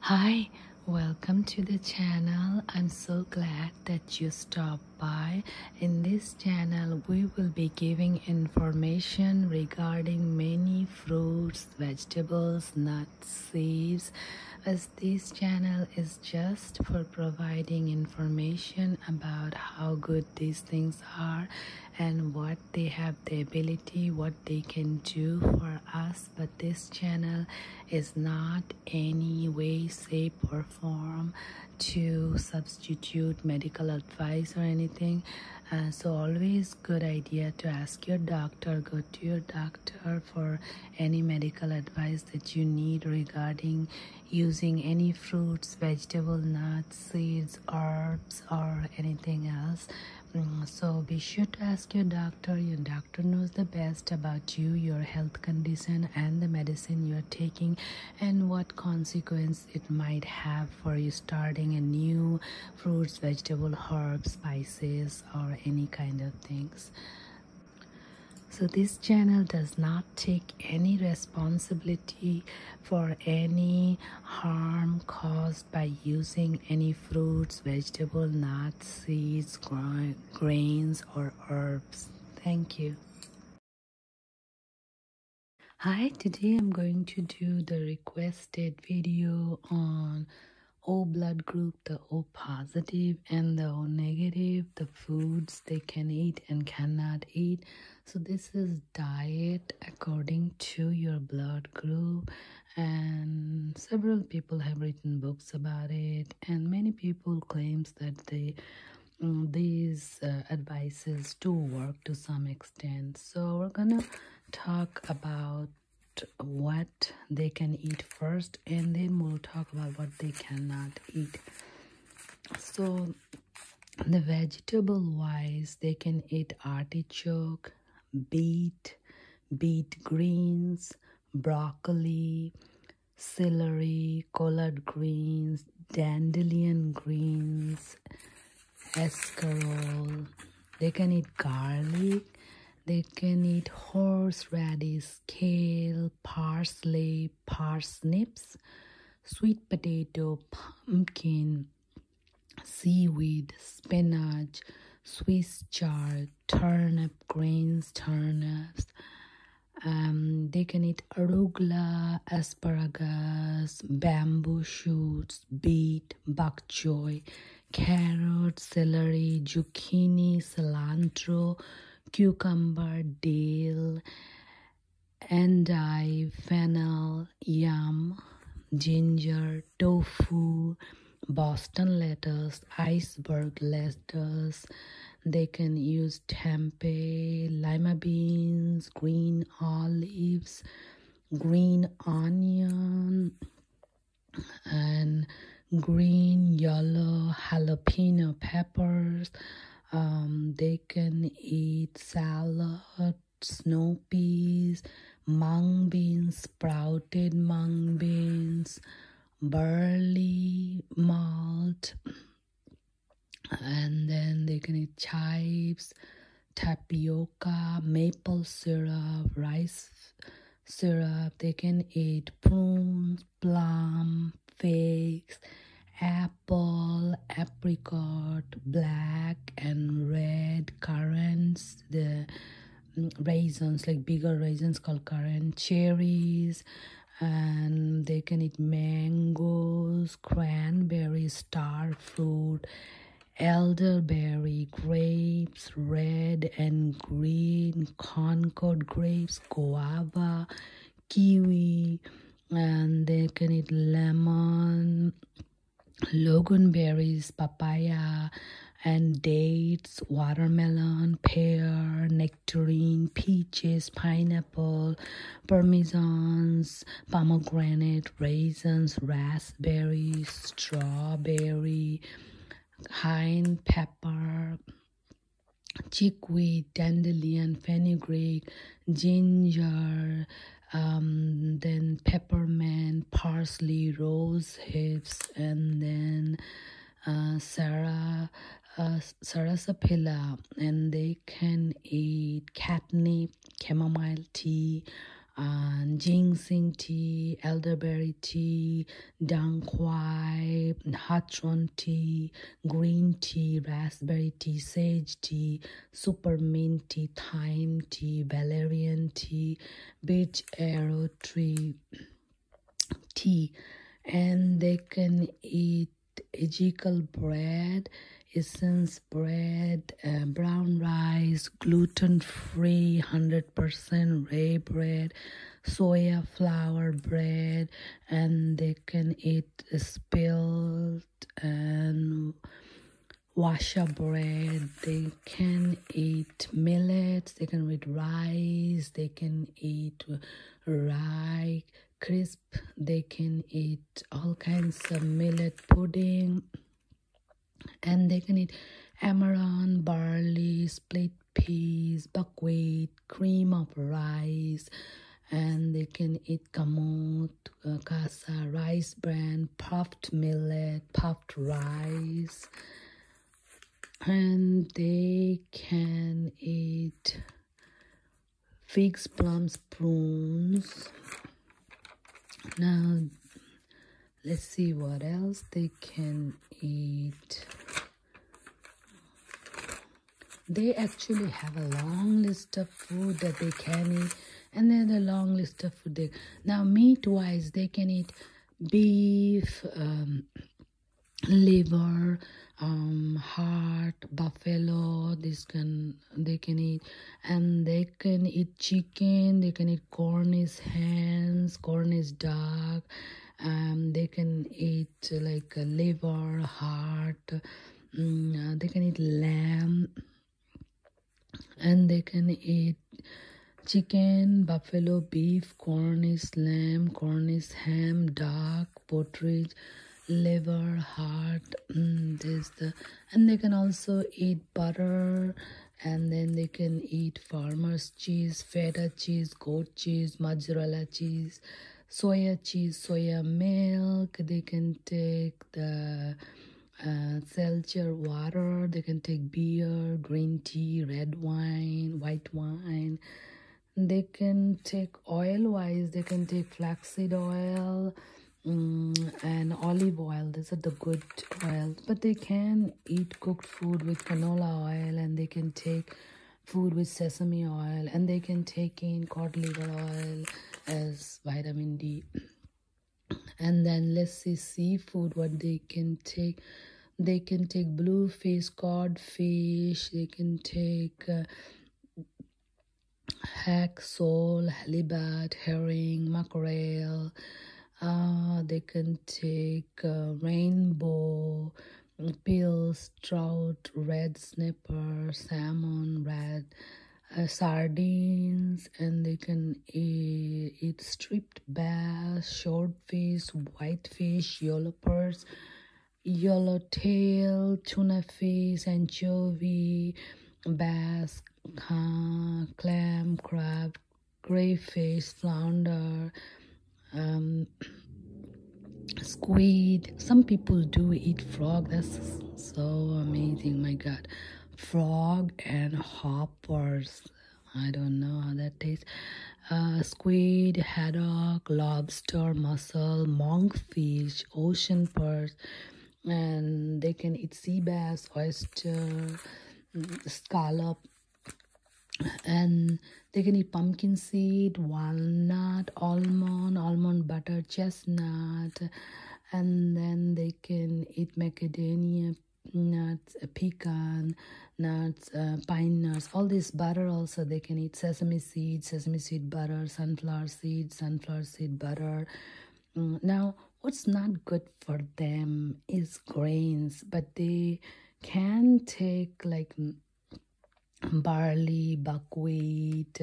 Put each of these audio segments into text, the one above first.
Hi, welcome to the channel. I'm so glad that you stopped by. In this channel, we will be giving information regarding many fruits, vegetables, nuts, seeds, as this channel is just for providing information about how good these things are and what they have the ability what they can do for us but this channel is not any way shape or form to substitute medical advice or anything uh, so always good idea to ask your doctor go to your doctor for any medical advice that you need regarding using any fruits vegetable nuts seeds herbs or anything else mm, so be sure to ask your doctor your doctor knows the best about you your health condition and the medicine you're taking and what consequence it might have for you starting a new fruits vegetable herbs spices or any kind of things so this channel does not take any responsibility for any harm caused by using any fruits, vegetable, nuts, seeds, gra grains, or herbs. Thank you. Hi, today I'm going to do the requested video on O blood group, the O positive and the O negative, the foods they can eat and cannot eat so this is diet according to your blood group and several people have written books about it and many people claims that they mm, these uh, advices do work to some extent so we're gonna talk about what they can eat first and then we'll talk about what they cannot eat so the vegetable wise they can eat artichoke beet beet greens broccoli celery collard greens dandelion greens escarole they can eat garlic they can eat horseradish kale parsley parsnips sweet potato, pumpkin, seaweed, spinach, Swiss chard, turnip, greens, turnips. Um, they can eat arugula, asparagus, bamboo shoots, beet, bok choy, carrot, celery, zucchini, cilantro, cucumber, dill, endive, fennel, yam, ginger, tofu, Boston lettuce, iceberg lettuce. They can use tempeh, lima beans, green olives, green onion, and green, yellow, jalapeno peppers. Um, they can eat salad, snow peas, mung beans, sprouted mung beans, barley, malt, and then they can eat chives, tapioca, maple syrup, rice syrup. They can eat prunes, plum, figs, apple, apricot, black and red, currants, the mm, raisins, like bigger raisins called currant, cherries, and they can eat mangoes, cranberry, star fruit, elderberry, grapes, red and green, concord grapes, guava, kiwi, and they can eat lemon, logan berries, papaya, and dates, watermelon, pear, nectarine, peaches, pineapple, parmesans, pomegranate, raisins, raspberries, strawberry, cayenne pepper, chickweed, dandelion, fenugreek, ginger, um, then peppermint, parsley, rose hips, and then uh, Sarah, uh, sarasapilla, and they can eat catnip, chamomile tea, and uh, ginseng tea, elderberry tea, Dangquai, Hatron tea, green tea, raspberry tea, sage tea, super mint tea, thyme tea, valerian tea, beach arrow tree tea. And they can eat egical bread, essence bread, uh, brown rice, gluten free, 100% rye bread, soya flour bread, and they can eat spilled and washer bread they can eat millet. they can eat rice they can eat rye crisp they can eat all kinds of millet pudding and they can eat amaranth barley split peas, buckwheat, cream of rice, and they can eat kamut, uh, rice bran, puffed millet, puffed rice, and they can eat figs, plums, prunes. Now, let's see what else they can eat they actually have a long list of food that they can eat and then a long list of food they now meat wise they can eat beef um, liver um, heart buffalo this can they can eat and they can eat chicken they can eat cornish is hens corn duck um, they can eat like liver, heart, mm, uh, they can eat lamb, and they can eat chicken, buffalo, beef, Cornish lamb, Cornish ham, duck, partridge, liver, heart. Mm, this the, and they can also eat butter, and then they can eat farmer's cheese, feta cheese, goat cheese, mozzarella cheese, soya cheese, soya milk. They can take the uh, water. They can take beer, green tea, red wine, white wine. They can take oil wise. They can take flaxseed oil. Mm, and olive oil these are the good oils but they can eat cooked food with canola oil and they can take food with sesame oil and they can take in cod liver oil as vitamin d and then let's see seafood what they can take they can take bluefish codfish they can take uh, sole halibut herring mackerel uh, they can take uh, rainbow pills, trout, red snapper, salmon, red uh, sardines, and they can eat, striped bass, short fish, shortfish, whitefish, yellowpers, yellowtail, tuna fish, anchovy, bass, clam, crab, crayfish, flounder, um, squid. Some people do eat frog. That's so amazing. My God, frog and hoppers. I don't know how that tastes. Uh, squid, haddock, lobster, mussel, monkfish, ocean perch, and they can eat sea bass, oyster, scallop, and they can eat pumpkin seed walnut almond almond butter chestnut and then they can eat macadamia nuts uh, pecan nuts uh, pine nuts all this butter also they can eat sesame seed sesame seed butter sunflower seed sunflower seed butter mm, now what's not good for them is grains but they can take like barley, buckwheat,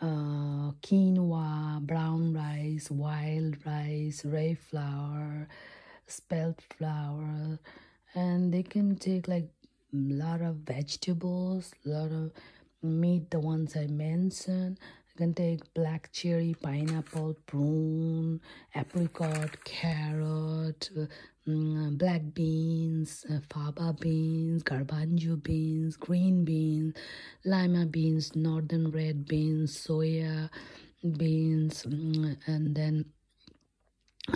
uh, quinoa, brown rice, wild rice, rye flour, spelt flour, and they can take like a lot of vegetables, a lot of meat, the ones I mentioned. can take black cherry, pineapple, prune, apricot, carrot, mm, black beans, uh, faba beans, garbanzo beans, green beans, lima beans, northern red beans, soya beans, mm, and then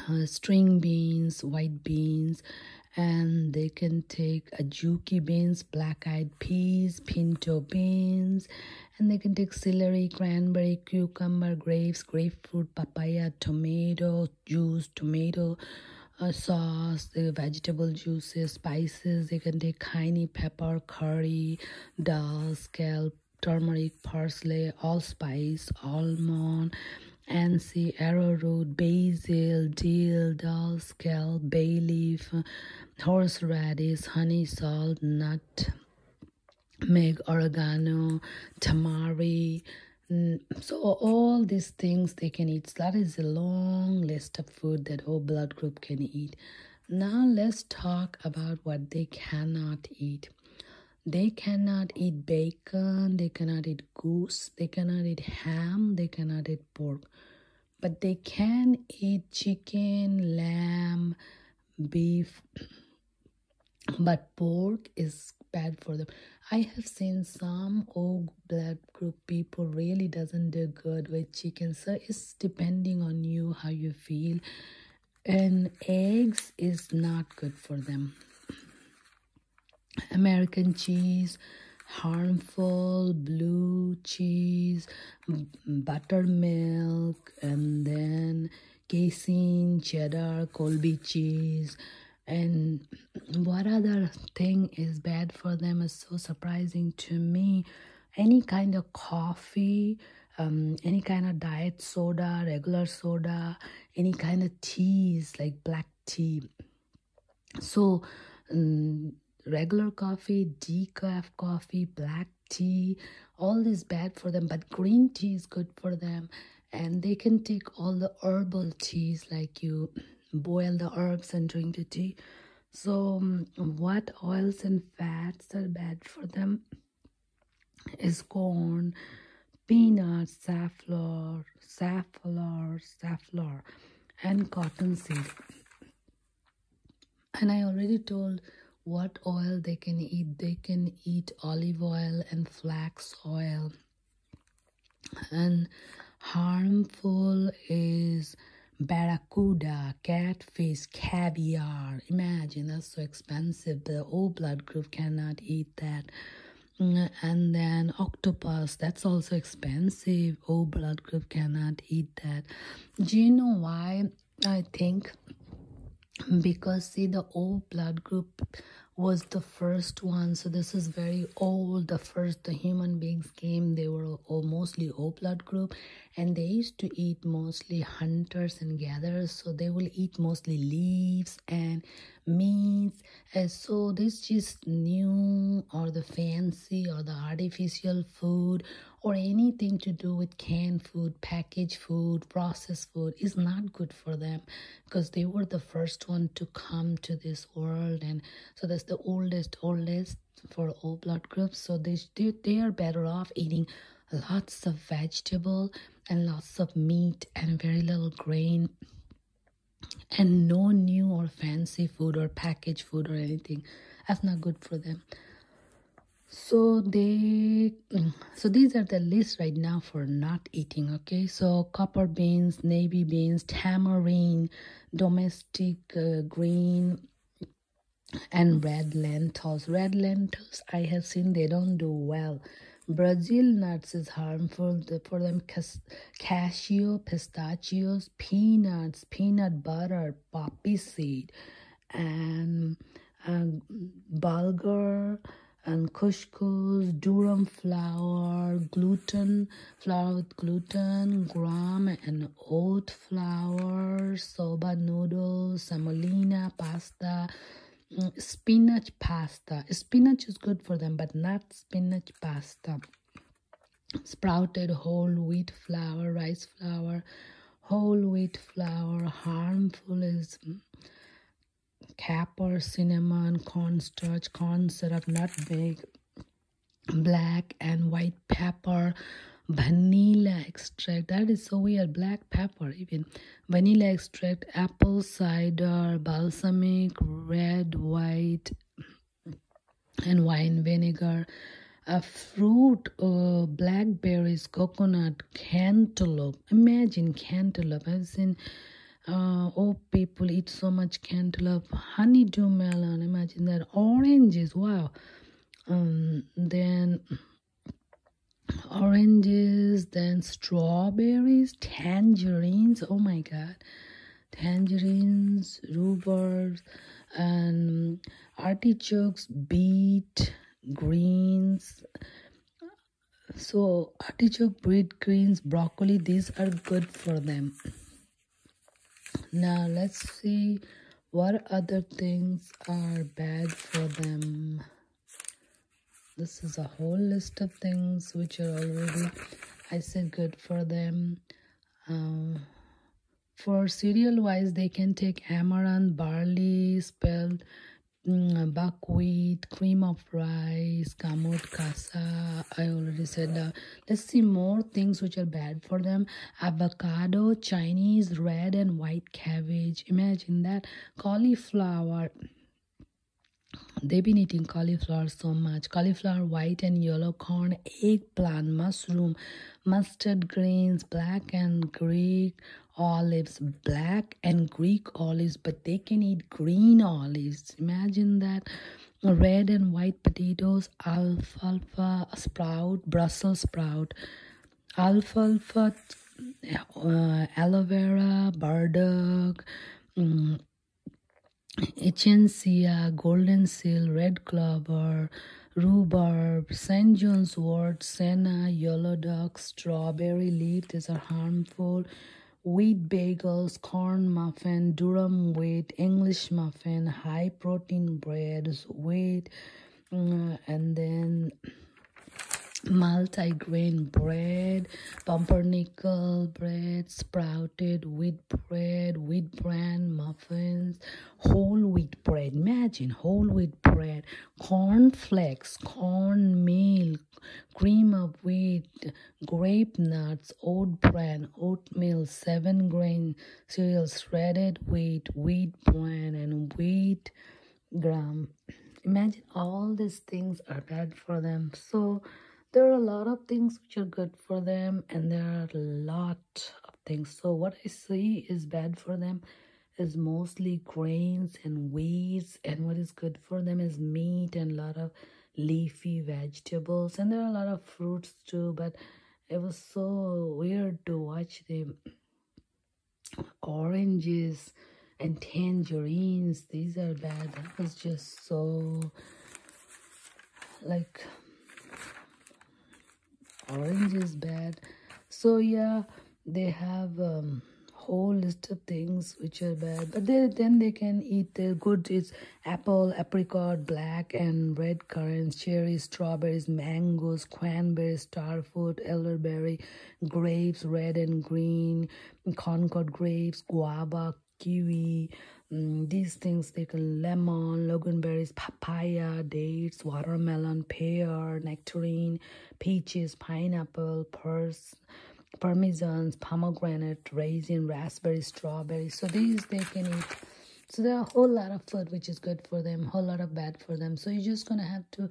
uh, string beans, white beans, and they can take ajuki beans, black eyed peas, pinto beans, and they can take celery, cranberry, cucumber, grapes, grapefruit, papaya, tomato, juice, tomato uh, sauce, vegetable juices, spices. They can take hiney, pepper, curry, dal, scalp, turmeric, parsley, allspice, almond, ansi, arrowroot, basil, dill, dal, scalp, bay leaf, horseradish, honey, salt, nut, make oregano, tamari. So all these things they can eat. That is a long list of food that all blood group can eat. Now let's talk about what they cannot eat. They cannot eat bacon, they cannot eat goose, they cannot eat ham, they cannot eat pork. But they can eat chicken, lamb, beef, but pork is bad for them i have seen some old black group people really doesn't do good with chicken so it's depending on you how you feel and eggs is not good for them american cheese harmful blue cheese buttermilk and then casein cheddar colby cheese and what other thing is bad for them is so surprising to me any kind of coffee um, any kind of diet soda regular soda any kind of teas like black tea so um, regular coffee decaf coffee black tea all is bad for them but green tea is good for them and they can take all the herbal teas like you boil the herbs and drink the tea so um, what oils and fats are bad for them is corn peanuts safflower safflower safflower and cottonseed and i already told what oil they can eat they can eat olive oil and flax oil and harmful is barracuda catfish caviar imagine that's so expensive the old blood group cannot eat that mm, and then octopus that's also expensive Old blood group cannot eat that do you know why I think because see the O blood group was the first one so this is very old the first the human beings came they were all, mostly o blood group and they used to eat mostly hunters and gatherers so they will eat mostly leaves and meats so this just new or the fancy or the artificial food or anything to do with canned food, packaged food, processed food is not good for them because they were the first one to come to this world and so that's the oldest oldest for all blood groups so they they, they are better off eating lots of vegetable and lots of meat and very little grain and no new or fancy food or packaged food or anything that's not good for them so they mm, so these are the list right now for not eating okay so copper beans navy beans tamarind domestic uh, green and red lentils red lentils i have seen they don't do well brazil nuts is harmful for them Cas cashew pistachios peanuts peanut butter poppy seed and uh, bulgur and couscous, durum flour, gluten, flour with gluten, gram and oat flour, soba noodles, semolina pasta, mm, spinach pasta. Spinach is good for them, but not spinach pasta. Sprouted whole wheat flour, rice flour whole wheat flour harmful is capper cinnamon cornstarch corn syrup nutmeg black and white pepper vanilla extract that is so weird black pepper even vanilla extract apple cider balsamic red white and wine vinegar a fruit uh, blackberries coconut cantaloupe imagine cantaloupe i've seen uh, oh people eat so much cantaloupe honeydew melon imagine that oranges wow um, then oranges then strawberries tangerines oh my god tangerines rhubarb and artichokes, beet, greens. So, artichoke, beet, greens, broccoli, these are good for them. Now, let's see what other things are bad for them. This is a whole list of things which are already, I said, good for them. Uh, for cereal wise they can take amaranth barley spelt mm, buckwheat cream of rice kamut kasa i already said that let's see more things which are bad for them avocado chinese red and white cabbage imagine that cauliflower they've been eating cauliflower so much cauliflower white and yellow corn eggplant mushroom mustard greens, black and Greek olives, black and Greek olives, but they can eat green olives. Imagine that red and white potatoes, alfalfa, sprout, Brussels sprout, alfalfa, uh, aloe vera, burdock. Um, mm, Echinacea, golden seal, red clover, Rhubarb, St. John's wort, senna, yellow Dock, strawberry leaf. These are harmful. Wheat bagels, corn muffin, durum wheat, English muffin, high protein breads, wheat, uh, and then multi-grain bread, pumpernickel bread, sprouted wheat bread, wheat bran muffins, whole wheat bread. Imagine whole wheat bread, corn flakes, corn meal, cream of wheat, grape nuts, oat bran, oatmeal, seven grain cereals, shredded wheat, wheat bran, and wheat gram. Imagine all these things are bad for them. So there are a lot of things which are good for them, and there are a lot of things so what i see is bad for them is mostly grains and weeds and what is good for them is meat and a lot of leafy vegetables and there are a lot of fruits too but it was so weird to watch the oranges and tangerines these are bad that was just so like orange is bad so yeah they have um, whole list of things which are bad but then they can eat their good it's apple apricot black and red currants cherries strawberries mangoes cranberry, star fruit elderberry grapes red and green concord grapes guava kiwi, mm, these things they can lemon, loganberries, papaya, dates, watermelon, pear, nectarine, peaches, pineapple, purse, parmesans, pomegranate, raisin, raspberry, strawberry. So these they can eat. So there are a whole lot of food which is good for them, whole lot of bad for them. So you're just gonna have to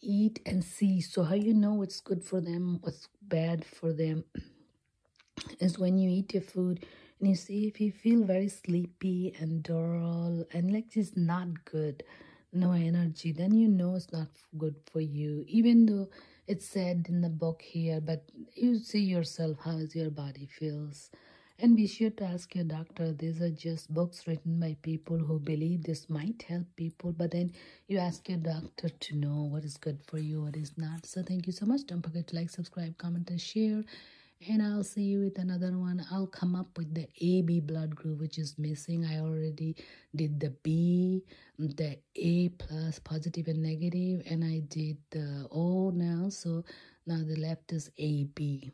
eat and see. So how you know it's good for them, what's bad for them is when you eat your food and you see if you feel very sleepy and dull and like just not good no energy then you know it's not good for you even though it's said in the book here but you see yourself how your body feels and be sure to ask your doctor these are just books written by people who believe this might help people but then you ask your doctor to know what is good for you it is not so thank you so much don't forget to like subscribe comment and share and i'll see you with another one i'll come up with the ab blood group which is missing i already did the b the a plus positive and negative and i did the o now so now the left is ab